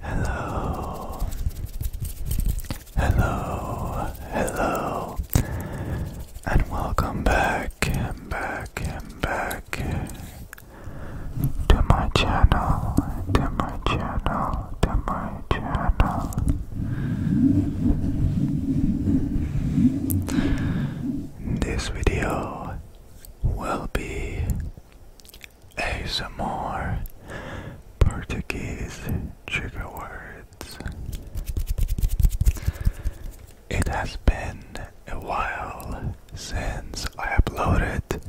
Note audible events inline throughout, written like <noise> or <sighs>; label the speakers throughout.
Speaker 1: Hello, hello, hello, and welcome back, back, back to my channel, to my channel, to my channel. This video will be a more Portuguese chicken words. It has been a while since I uploaded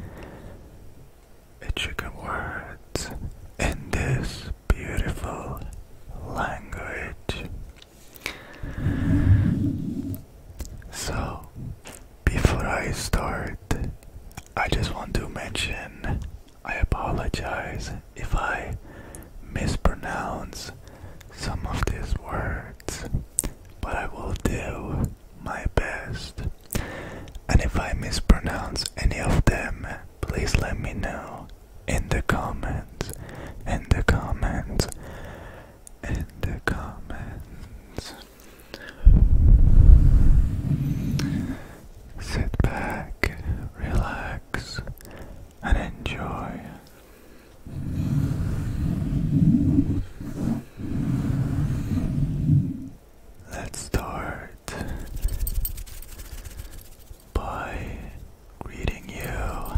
Speaker 1: a chicken words in this beautiful language. So before I start, I just want to mention I apologize if I mispronounce some of these words, but I will do my best. And if I mispronounce any of them, please let me know in the comments, in the comments, in the comments. Sit back, relax, and enjoy. Let's start by greeting you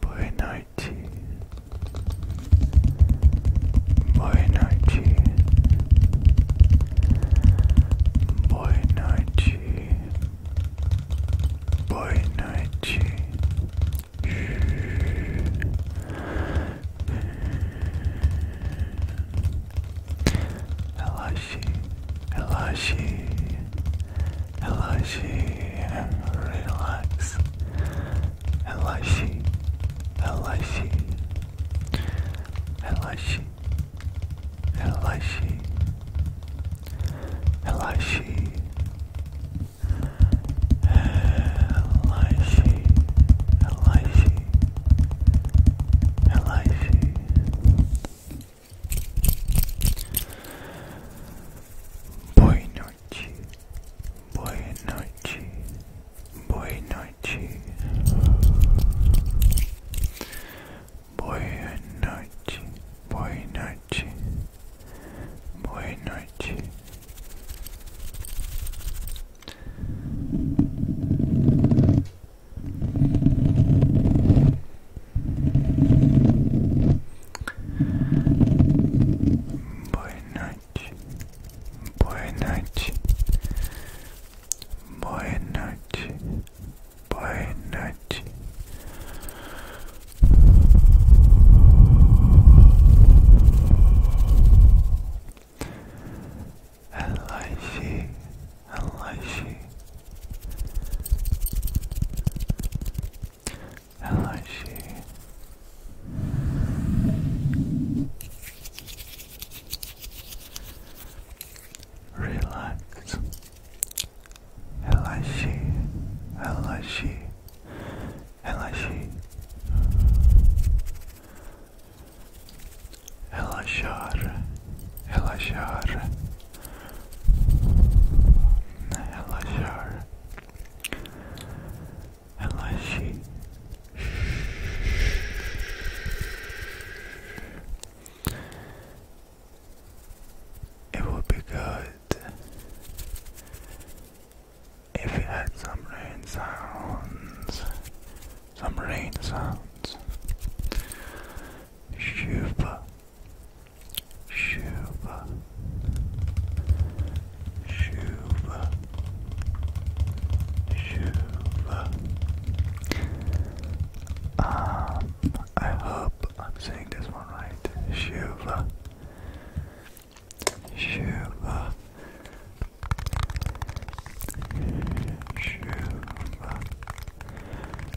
Speaker 1: Boa noite. Boa noite. Boa noite. Boa noite. Relaxe, relaxe, Elashi relax. Elashi. Elashi. Elashi. Elashi. Elashi. Elashi. Elashi. Boy, noche, buenas noches, buenas noches, buenas noches, buenas noches, Boa noite, boa noite, boa noite, boa noite. Elijah, Elijah. Hello, she. Relax. Hello, she. Hello, she. Hello, Elashar Elashi It would be good if we had some rain sounds, some rain sounds. Shuba, Shiva, Shiva, Shiva. Um, I hope I'm saying this one right. Shuba, Shuba, Shuba,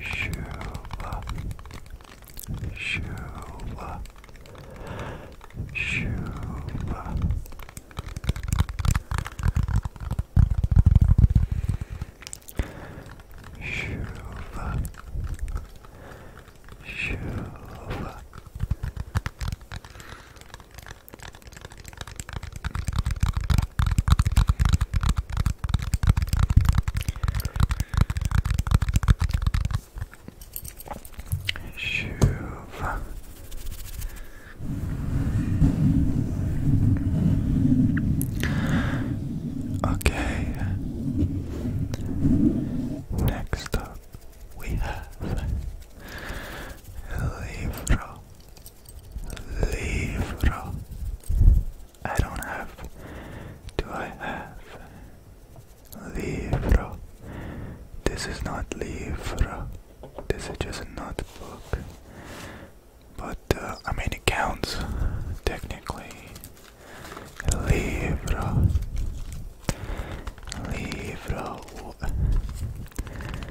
Speaker 1: Shuva, Shuva, Shuva. Shuva, Shuva. Tjuv. Okay. Next up we have Livro Livro. I don't have. Do I have? Livro. This is not Libra. This is just a notebook. But uh, I mean, it counts technically. Livro. Livro.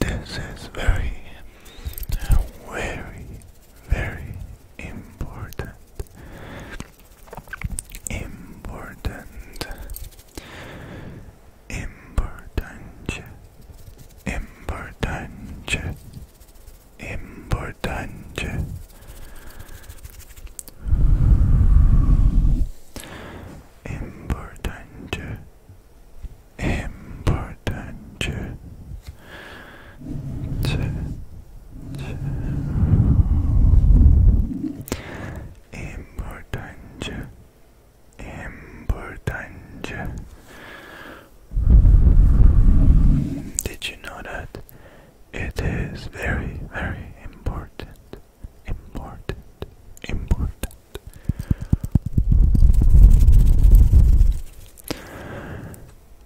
Speaker 1: This is very, very, very important. Important Importante, importante, importante. Importante, importante. Importante, importante. Did you know that it is very, very important? Important, important.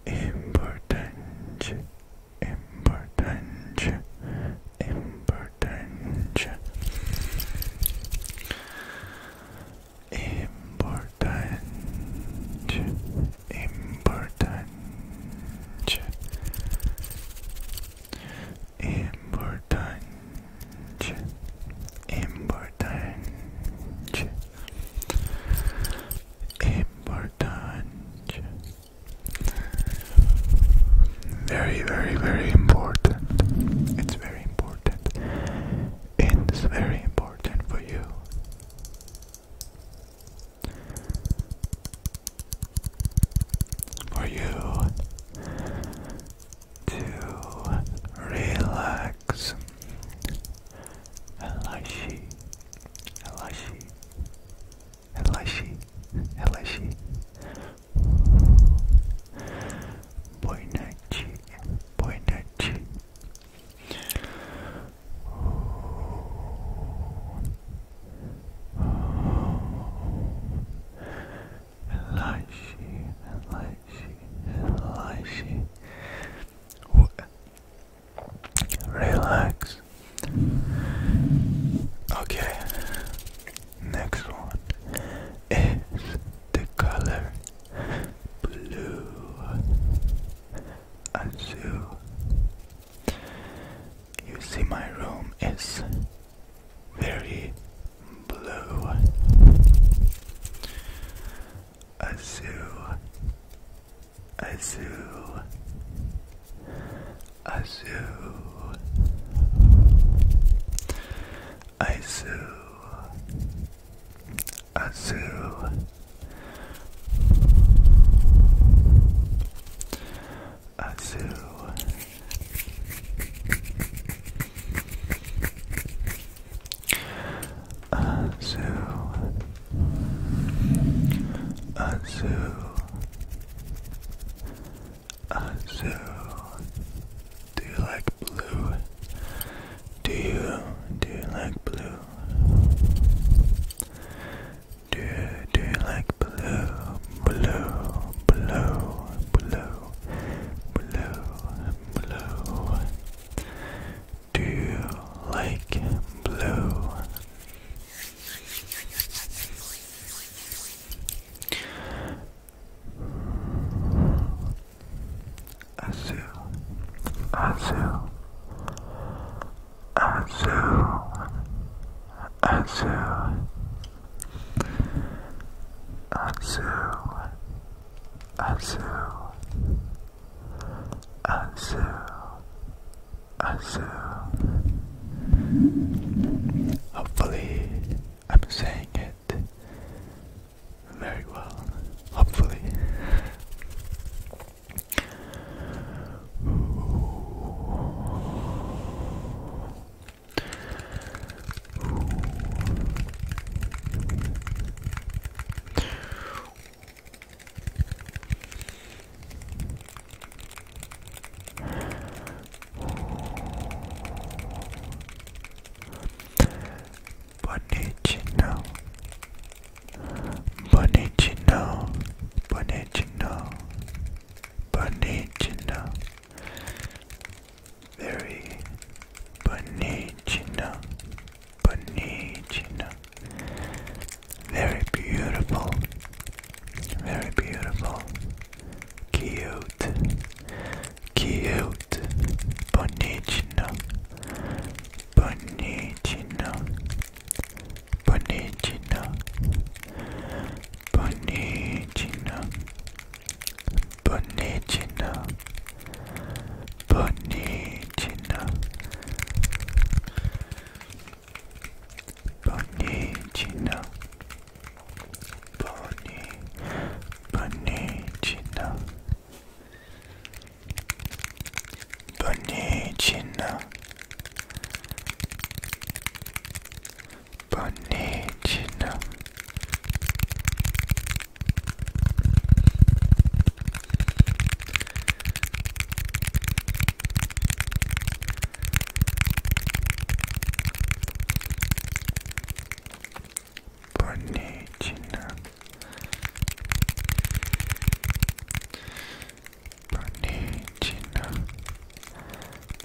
Speaker 1: Importante, importante, importante important, important, important, important. Important, very, very, very important. It's very important it's very important for you. For you to relax. Elashi, Elashi, Elashi, Elashi, Boa noite, boa noite. Relaxe, Relax. Okay. Next one is the color blue, azul. You see, my room is very blue, azul, azul, azul. Izu Azu Azu Azu Azu uh, do you like blue? Do you do you like blue? Do do you like blue? Blue, blue, blue, blue, blue. Do you like blue? Azul, Azul, Azul, Azul, Azul, Azul, Azul, Azul. Hopefully, I'm saying it very well, hopefully. Bonicino, Bonicino, Bonicino, Bonicino, very Bonicino, Bonicino, very beautiful, very beautiful, cute, cute, cute, bonitinho, bonitinho, bonitinho, bonitinho, bonitinho, bonitinho, bonitinho. Bonnie, bunny, china, bunny, china, bunny, china. Bonittina Bonittina Bonittina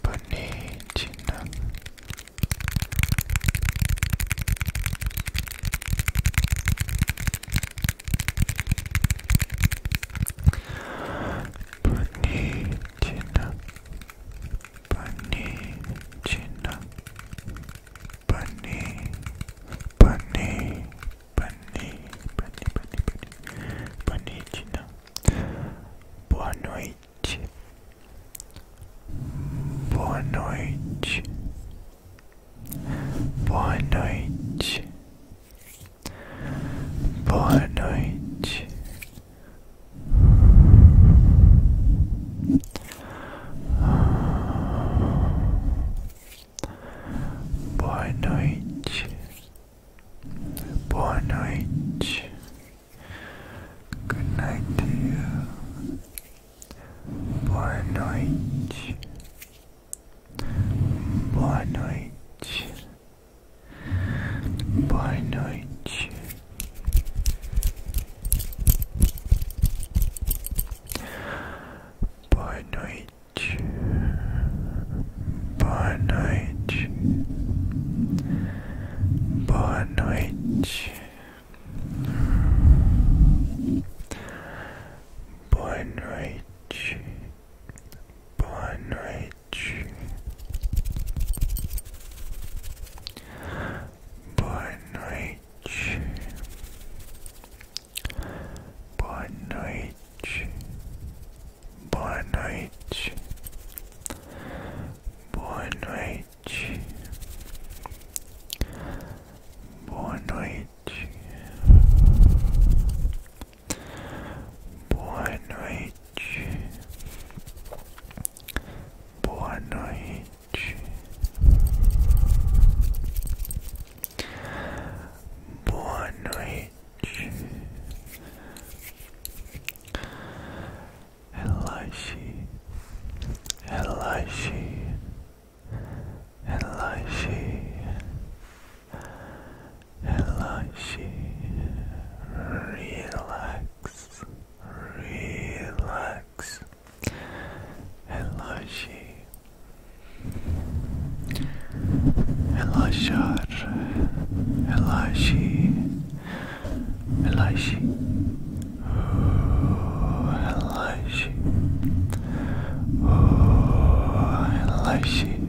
Speaker 1: Bonittina bunny china bunny bunny bunny bunny bunny bunny bunny china boa noite Boa noite, boa noite, good night to you, boa noite, boa noite. Bye night. Boa noite. Boa noite. Boa noite. Boa noite. Boa noite much. Boa noite. Boa noite. Boa noite. Boa noite. Boa noite. Boa noite. Boa noite. Boa noite. Relaxe. Relaxe. Relaxe. Elashi, relax, relax. Elashi, Elashar, Elashi, Elashi, oh, Elashi,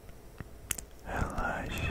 Speaker 1: Relaxe.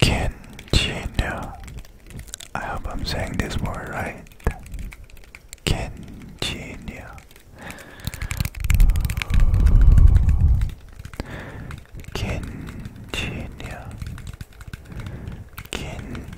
Speaker 1: Kinjinu. I hope I'm saying this word right. Kinjinu. Kinjinu. Kinjinu.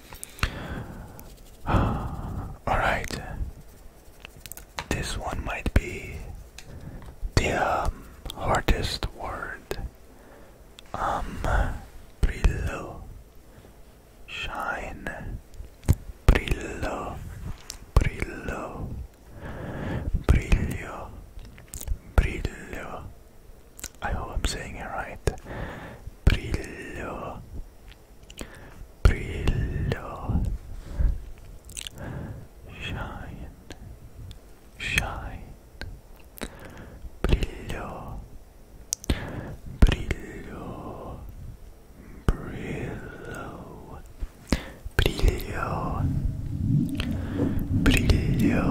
Speaker 1: <sighs> Alright, this one might be the um, hardest word. Um, brillo, shine, brillo, brillo, brillo, brillo, I hope I'm saying it right. Brillo. Brillo. Shine. Shine. Brillo. Brillo. Brillo. Brillo. Brillo.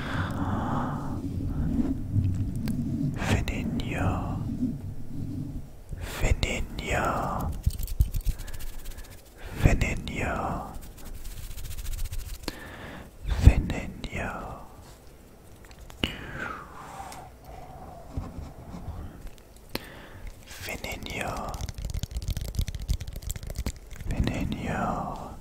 Speaker 1: Fininho, Fininho, Fininho, Fininho. Fininho, Fininho,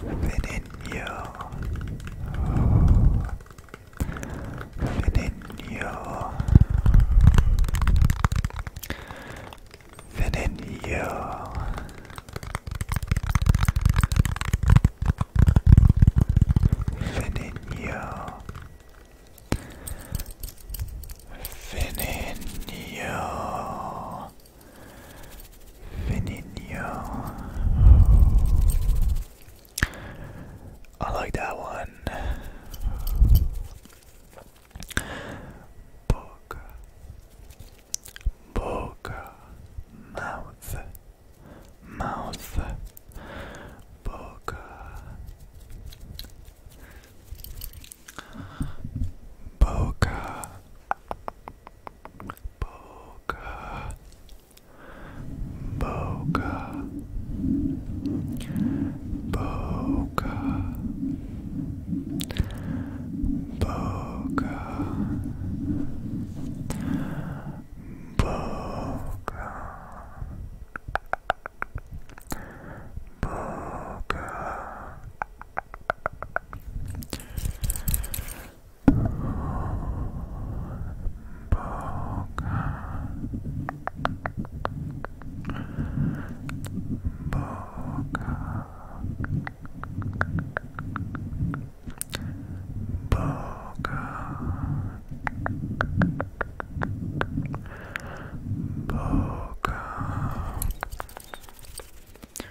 Speaker 1: Veneno. Veneno. Veneno. Veneno. Veneno. Finino. I like that one. Book, book, mouth, mouth, book, book, Boca, Boca, Boca, Boca, Boca, Boca. Boca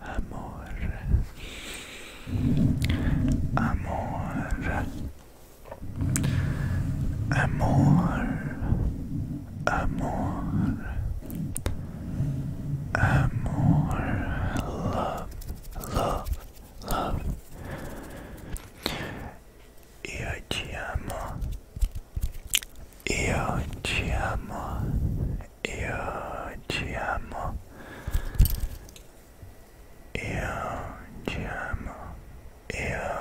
Speaker 1: amor, amor, amor, amor, amor, love, love, love. Io ti amo. Io ti amo e io ci amo io ci amo io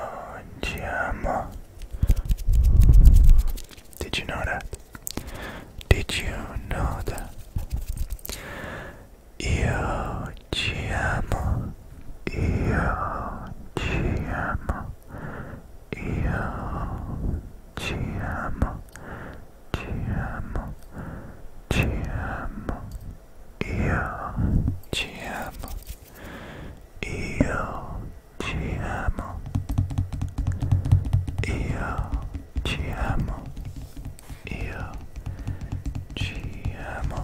Speaker 1: ci amo did you know that did you know that io ci amo io ci amo io ci amo GM, GM, yeah, GM, yeah, GM, yeah, GM, yeah, GM.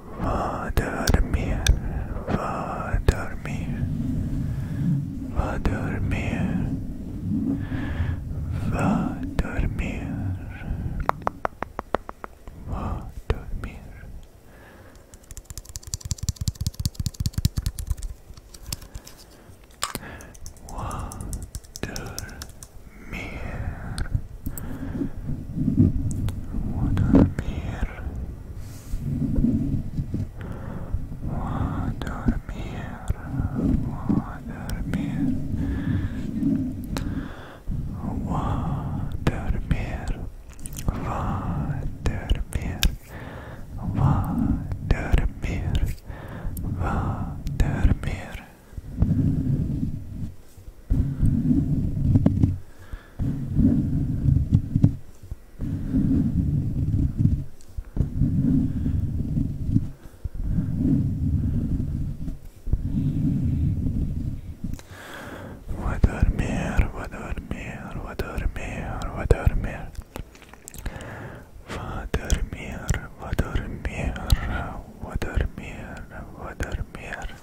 Speaker 1: Va a dormir, va a dormir, va a dormir, va a dormir, va a dormir. Watermere, Watermere, Voy a dormir, voy a dormir, voy a dormir, voy a dormir, voy dormir, voy dormir. Voy a dormir, voy a dormir, voy a dormir, voy a dormir. Voy a dormir, voy a dormir, voy a dormir, voy a dormir.